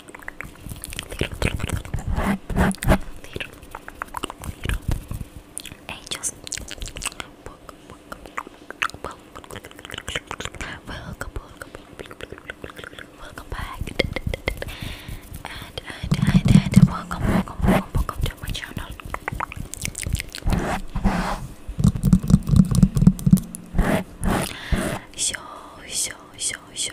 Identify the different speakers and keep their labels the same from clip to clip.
Speaker 1: little, little angels. Welcome, welcome, welcome back, and and and, and welcome, welcome, welcome, welcome to my channel. So, so, so, so,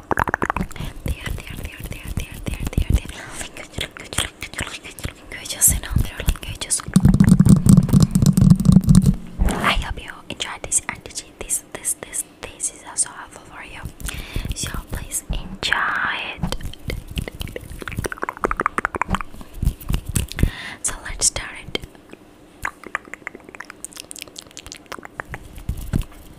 Speaker 1: I hope you enjoy this and this this this this is also helpful for you So please enjoy it So let's start it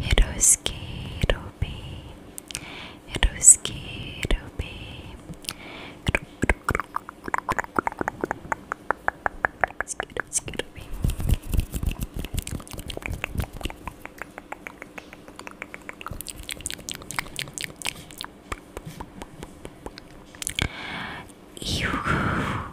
Speaker 1: Hiroski Robi Hiroski Robi Hiroski Robi Eww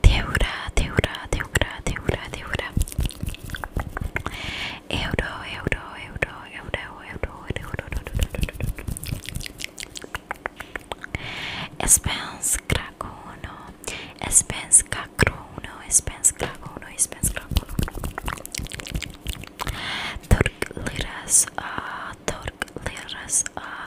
Speaker 1: Teura, teura, teura, teura, teura. Euro, euro, euro, euro, euro, euro, Spence Krakono, Spence Kakrono, Spence Krakono, Spence Krakono. Turk liras, uh, ah, Turk liras, uh,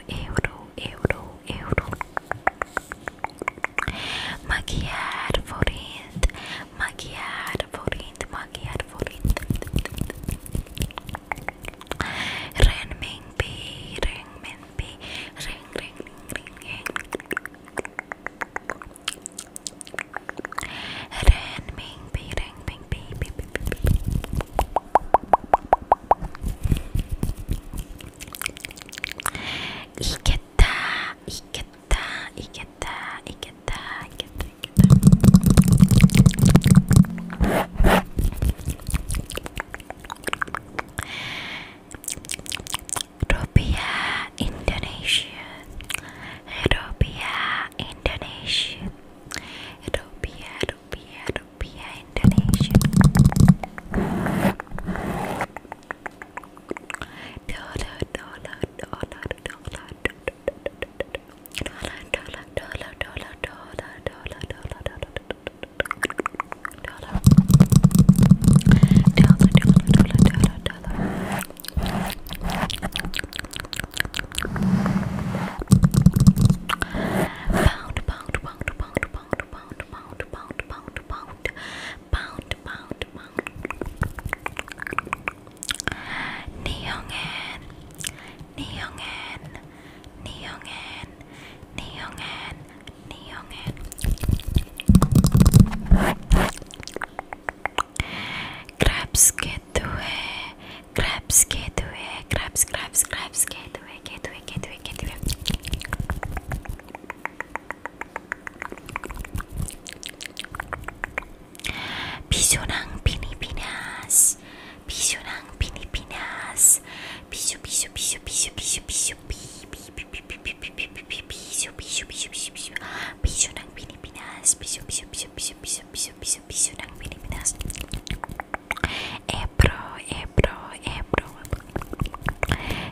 Speaker 1: euro, euro, euro. Maquiar forint, maquiar forint, maquiar forint. Renmin pi, renmin pi, ring, ring, ring, ring. Renmin pi, renmin pi, 이겠다 이겠다 이겠다 이겠다 이겠다 이겠다 Rupiah Indonesia Rupiah Indonesia rupiah rupiah rupiah Indonesia dollar dollar dollar dollar dollar dollar dollar dollar dollar dollar dollar dollar dollar dollar dollar dollar dollar Pound, pound, pound, pound, pound, pound, pound, pound, pound, pound, pound, pound, pound. Neongen, neongen, neongen, neongen, neongen. Crabs get away, crabs get away, crabs, crabs, crabs get away, get away, get away, get away. Pisu ng Pilipinas, pisu ng Pilipinas, pisu, pisu, pisu, pisu, pisu, pisu, pisu, pisu, pisu, piso, piso, piso, piso, piso, piso ng Pilipinas, piso, piso, piso, piso, piso, piso, piso, piso ng Pilipinas. Ebro, Ebro, Ebro.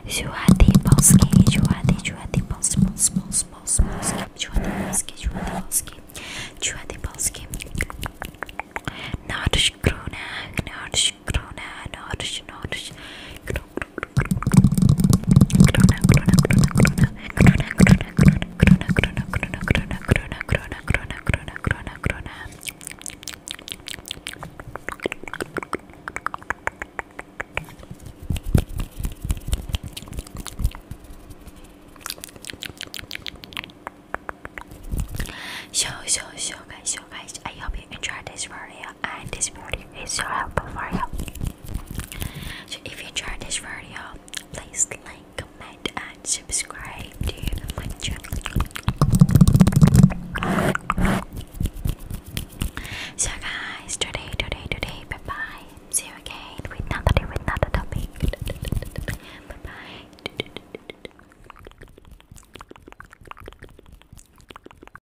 Speaker 1: Juhati Polski, Juhati, Juhati Polski, Polski, Polski, Polski, Polski, Juhati Polski, Juhati Polski. Nordic Krona, Nordic Krona, Nordic, Nordic, Krona. So, so, so guys, so guys, I hope you enjoyed this video and this morning. It's your help for you. So if you enjoyed this video, please like, comment and subscribe to my channel. So guys, today, today, today, bye bye. See you again with another with another topic. bye.